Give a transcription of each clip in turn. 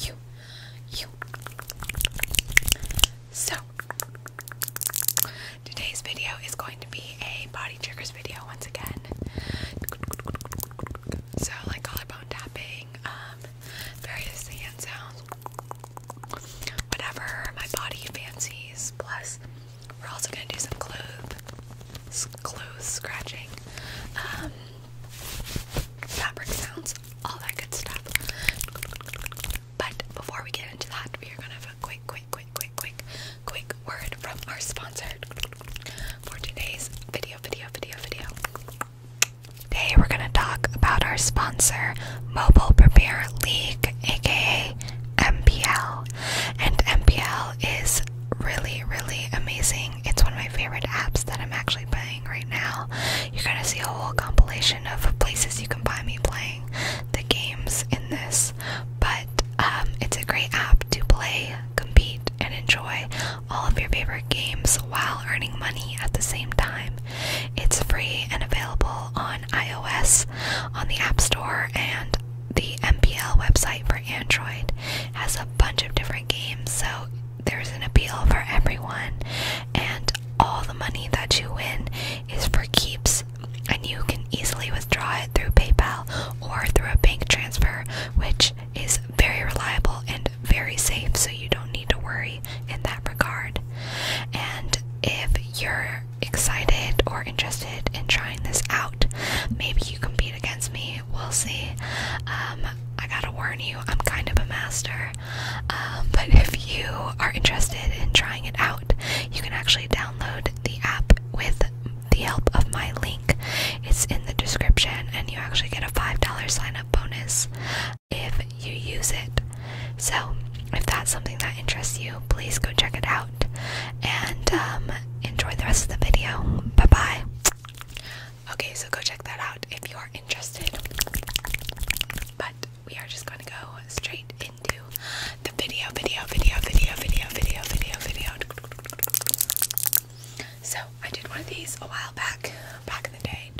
you, you. So, today's video is going to be a body triggers video once again. So, like collarbone tapping, um, various hand sounds, whatever my body fancies. Plus, we're also going to do some clothes, clothes scratching. Um, fabric sounds, all that good stuff. But before we get into that, we are gonna have a quick, quick, quick, quick, quick, quick word from our sponsor for today's video, video, video, video. Today we're gonna talk about our sponsor, Mobile Prepare League, aka MPL. And MPL is really, really amazing. It's one of my favorite apps that I'm actually playing right now. You're gonna see a whole compilation of places you can buy me playing the games in this. But um, it's a great app to play, compete, and enjoy all of your favorite games while earning money at the same time. It's free and available on iOS, on the App Store, and the MPL website for Android. has a bunch of different games, so there's an appeal for everyone, and all the money that you win is for keeps, and you can easily withdraw it through PayPal or through a bank transfer, which is very reliable and very safe, so you don't need to worry in that regard. And if you're excited or interested in trying this out, maybe you compete against me We'll see. Um, I gotta warn you, I'm kind of a master. Um, but if you are interested in trying it out, you can actually download the app with the help of my link. It's in the description, and you actually get a $5 sign up bonus if you use it. So, if that's something that interests you, please go check it out and um, enjoy the rest of the video. Bye bye. Okay, so go check that out if you are interested. But we are just going to go straight into the video, video, video, video, video, video, video, video. So I did one of these a while back, back in the day.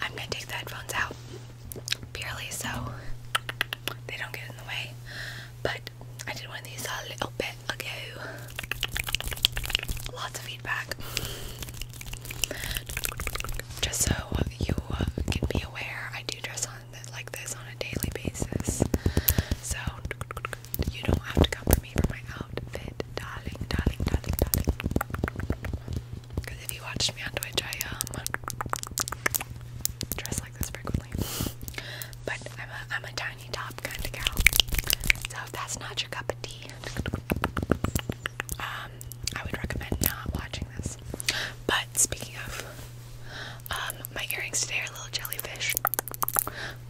I'm going to take the headphones out purely so they don't get in the way. But I did one of these a little bit bit Lots of feedback. Just so you uh, can be aware, I do dress on like this on a daily basis. So you don't have to come for me for my outfit, darling, darling, darling, darling. Because if you watched me on Twitch, I um, dress like this frequently. But I'm a I'm a time top kind of gal. So if that's not your cup of tea, um, I would recommend not watching this. But speaking of, um, my earrings today are little jellyfish.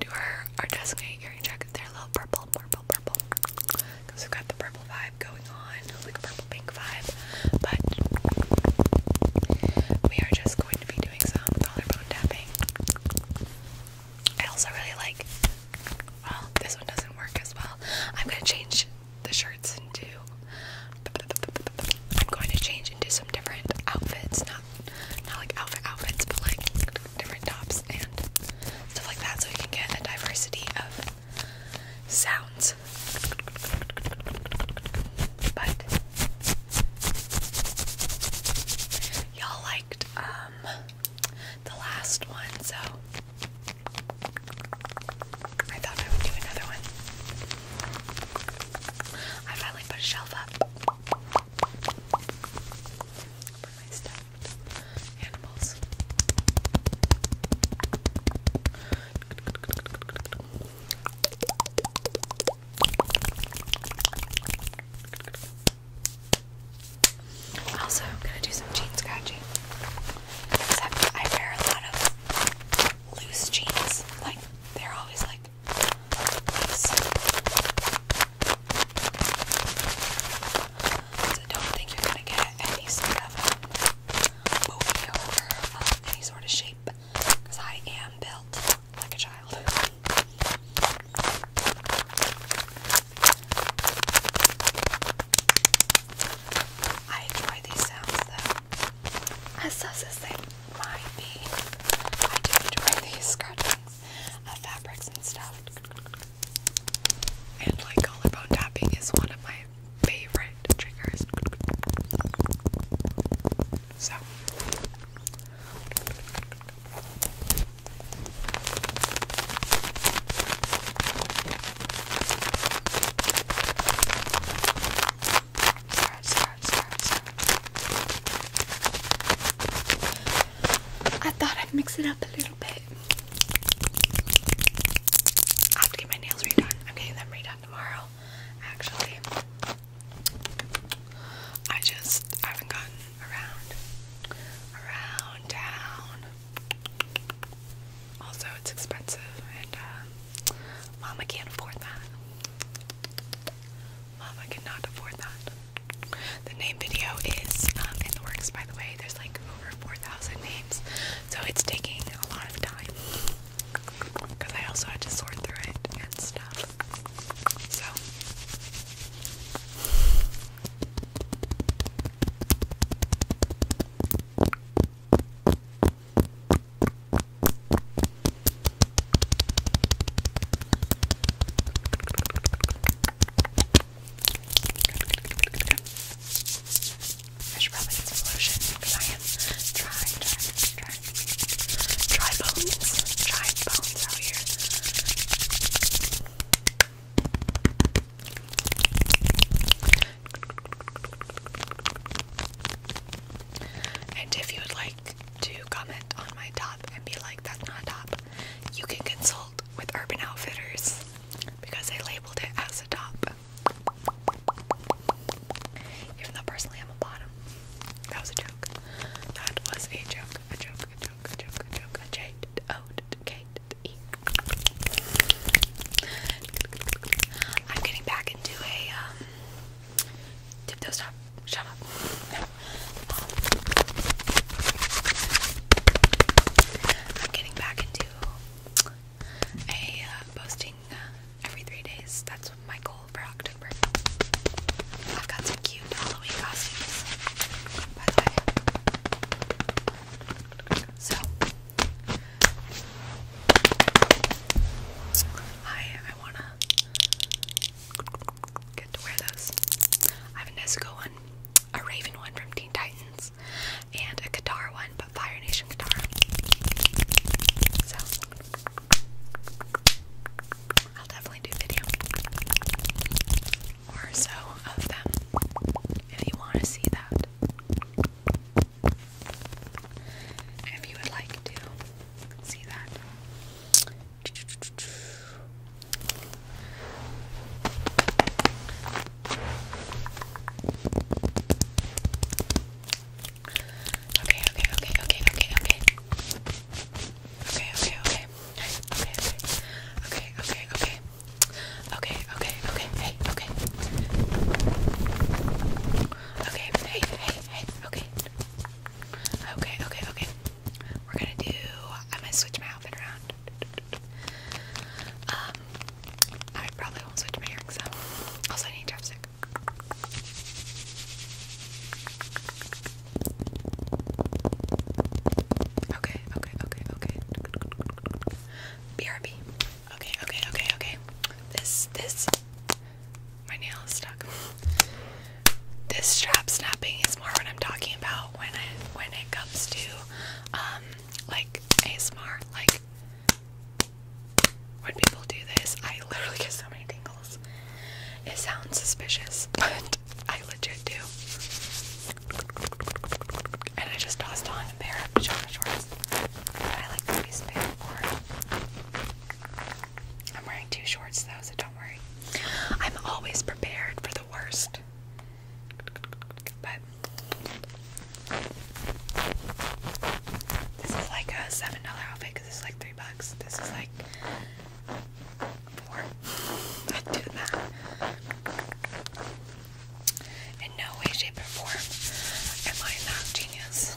Do our our designated earring jacket. They're little purple, purple, purple. Because we've got the purple vibe going on, like a purple pink vibe. But we are just going to be doing some collarbone tapping. I also really like well, this one doesn't work as well. I'm gonna change the shirts into. I'm going to change into some different outfits, not not like outfit outfits, but like different tops and stuff like that, so we can get a diversity of sounds. But y'all um, the last one, so I thought I would do another one. I finally put a shelf up for my stuffed animals. Also, I'm gonna do some jeans scratching. Except I wear a lot of loose jeans. Like, they're always like loose. So don't think you're gonna get any sort of um, any sort of shape. Because I am built like a child. I enjoy these sounds though. As sus as they might be, I do enjoy these scratchings of fabrics and stuff. And like collarbone tapping is one of my favorite triggers. So Sorry, sorry, sorry, sorry. I thought I'd mix it up a little bit. I have to get my nails redone. I'm getting them redone tomorrow, actually. I just haven't gotten around, around town. Also, it's expensive, and uh, Mama can't afford that. Mama cannot afford that. The name video is um, in the works, by the way. There's like over 4,000 names, so it's taking a lot of time because I also had to sort through it and stuff. So, I should probably get some lotion because I am dry, dry, dry, dry bones, dry bones out here. And if you would like to comment on my top and be like, that's not top, you can consult with Urban Outfitters because I labeled it as a top. Even though personally I'm a bottom. That was a joke. That was a joke. A joke. I'm getting back into a um, stop. Shut up. I'm getting back into a uh, posting uh, every three days. That's my goal for October. I've got some cute Halloween costumes, by the way. So, I, I wanna get to wear those. I have a Nezuko one, a Raven one from Teen Titans, and a Katara one, but Fire Nation Katara. So, I'll definitely do video or so of them if you want to see that. If you would like to see that. okay, okay, okay, okay, okay. Okay, okay, okay okay, okay, okay, okay, okay, okay, okay, okay, hey, okay, okay, hey, hey, hey, okay, okay, okay, okay. We're gonna do. I'm gonna switch my outfit around. Um, I probably won't switch my earrings though. Also, I need a chopstick. Okay, okay, okay, okay. BRB. Okay, okay, okay, okay. This, this, my nail is stuck. This strap snapping is more what I'm talking about when I when it comes to um like ASMR. Like when people do this, I literally get so many tingles. It sounds suspicious, but I legit do. And I just tossed on a pair of pajama shorts. I like the waistband for. I'm wearing two shorts though, so don't worry. I'm always prepared for the worst. But this is like a seven dollar outfit because it's like three bucks. This is like Four. I did that. In no way, shape, or form am I not genius.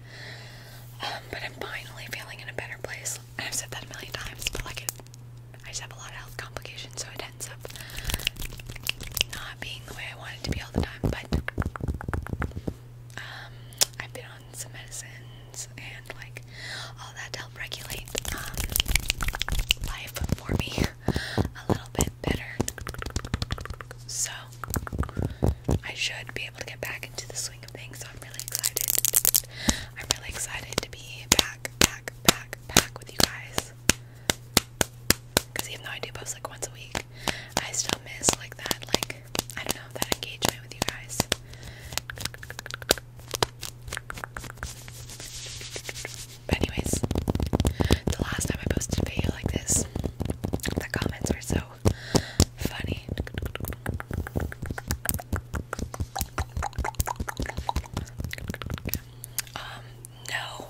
Um, but I'm finally feeling in a better place. I've said that a million times, but like I just have a lot of health complications, so it ends up not being the way I want it to be all the time. But um, I've been on some medicines and like all that help regulate um, life for me a little bit better. So I should be able to get back into the swing of things. So I'm really excited. I'm really excited to be back, back, back, back with you guys. Because even though I do post like once a week, I still miss like that, like, I don't know, that engagement with you guys. But, anyways, the last time I posted a video like this, the comments were so funny. Um, no,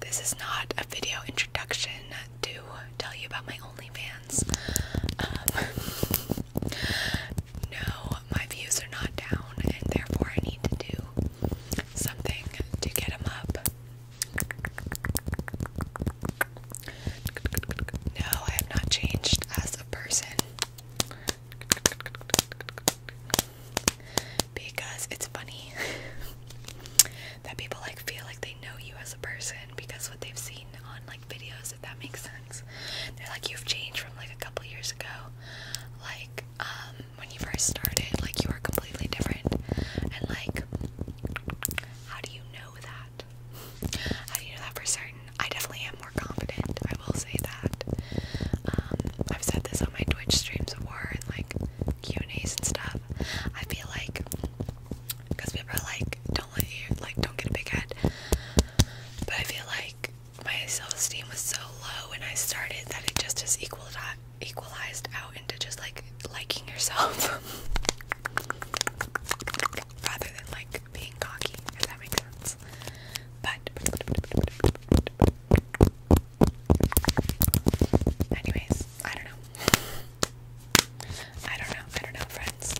this is not a video introduction to tell you about my OnlyFans. Um, no, my views are not down, and therefore I need to do something to get them up. No, I have not changed as a person. Because it's funny that people like feel like they know you as a person because what they've seen on like videos, if that makes sense. They're like you've changed from like a couple years ago. Like, um, when you first started, like you were completely different. And like how do you know that? How do you know that for certain? I definitely am more confident. I will say that. Um, I've said this on my Twitch streams before and like Q and A's and stuff. I feel like because people are like, don't let you like, don't get a big head. But I feel like my self-esteem was so low when I started that it just has equalized out into just like liking yourself. rather than like being cocky, if that makes sense. But, anyways, I don't know. I don't know. I don't know, friends.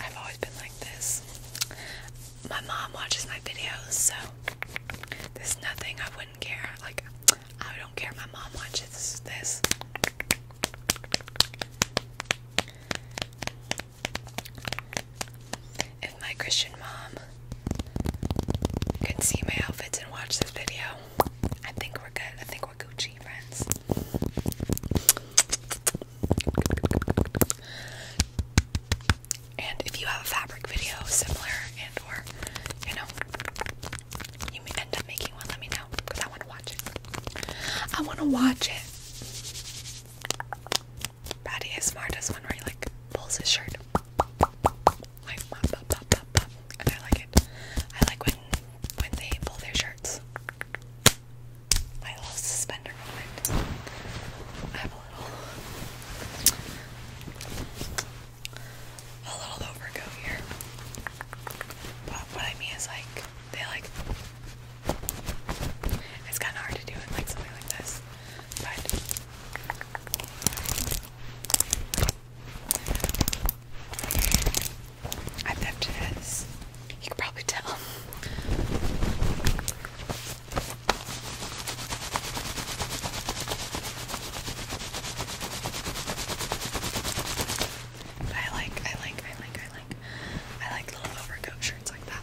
I've always been like this. My mom watches my videos, so there's nothing I wouldn't care. Like, I don't care. My mom watches this. If my Christian mom could see my outfits and watch this video, I think we're good. I think we're Gucci friends. And if you have a fabric video similar and or you know you end up making one, let me know because I want to watch it. I want to watch it. Patty ASMR does one where like pulls his shirt and I like it. I like when when they pull their shirts. My little suspender moment. I have a little a little overcoat here. But what I mean is like they like it's kinda hard to do in like something like this. But I pipped it as you can probably tell. I like, I like, I like, I like, I like little overcoat shirts like that.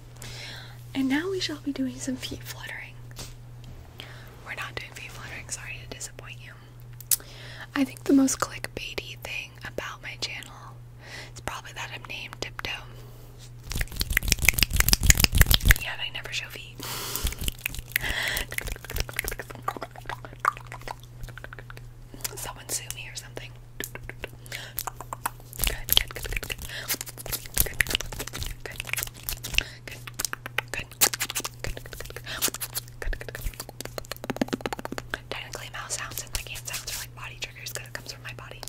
And now we shall be doing some feet fluttering. We're not doing feet fluttering, sorry to disappoint you. I think the most clickbaity thing about my channel is probably that I'm named Tiptoe. Yeah, I never show feet. Someone sue me or something good. Technically, mouth sounds and like hand sounds are like body triggers because it comes from my body.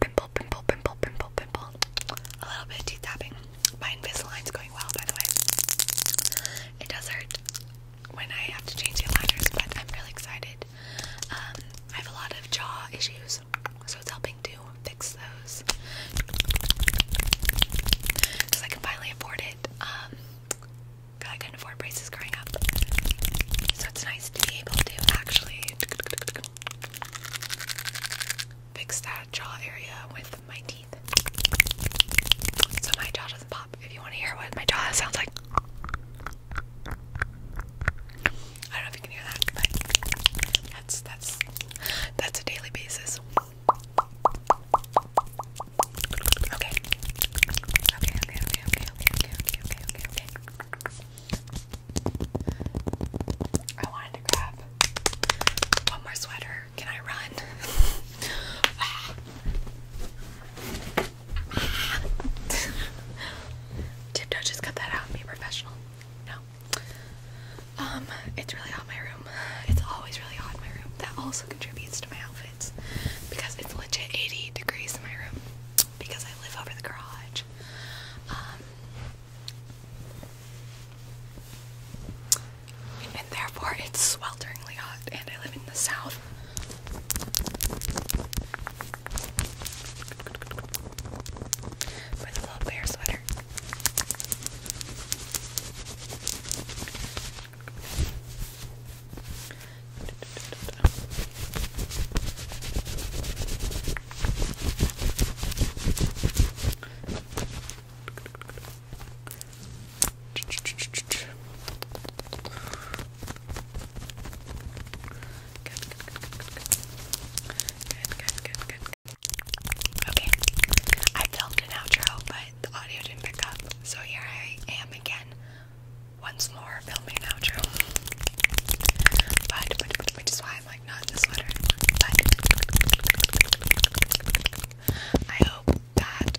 Pimple, pimple, pimple, pimple, pimple. A little bit of teeth tapping. My Invisalign's going well, by the way. It does hurt when I have to change the aligners, but I'm really excited. Um, I have a lot of jaw issues, so it's helping to fix those because I can finally afford it. Um, I couldn't afford braces growing up, so it's nice to be able to actually fix that jaw area with my teeth, so my jaw doesn't pop. If you want to hear what my jaw sounds like. I don't know if you can hear that, but that's that's that's a daily basis. Okay. Okay, okay, okay, okay, okay, okay, okay, I wanted to grab one more sweater. Can I run? Ah. Did just cut that out be professional? No. Um, it's really hot in my room. It's always really hot in my room. That also contributes to my outfits because it's legit 80 degrees in my room because I live over the garage. Um, and therefore it's swelteringly hot and I live in the south with a little bear sweater. Okay, I filmed an outro, but the audio didn't pick up, so here I am again, once more filming an outro. which is why I'm like not in the sweater. But I hope that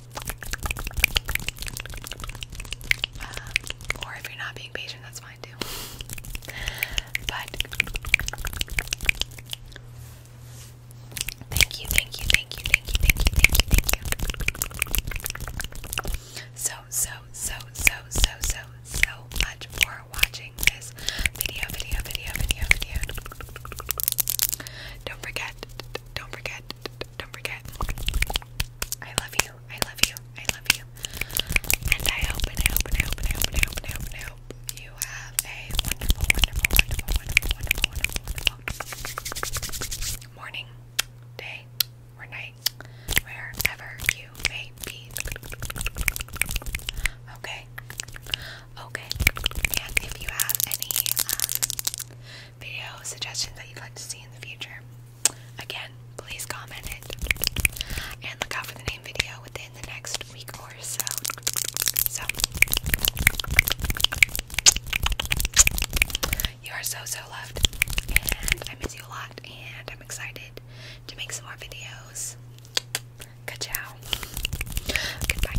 Um, or if you're not being patient, that's fine too. But thank you, thank you, thank you, thank you, thank you, thank you, thank you. So, so, so, so, so, so, so much for watching this video, video, video, video, video. Don't forget, don't forget, don't forget. I love you. I love you. I love you. And I hope I hope I hope I hope I hope I hope, I hope you have a wonderful, wonderful, wonderful, wonderful, wonderful, wonderful, wonderful morning, day, or night, wherever you may be. Okay. Okay. And if you have any um, video suggestions that you'd like to see in the future, Again, please comment it. And look out for the name video within the next week or so. So, you are so, so loved. And I miss you a lot. And I'm excited to make some more videos. Ka-chow. goodbye.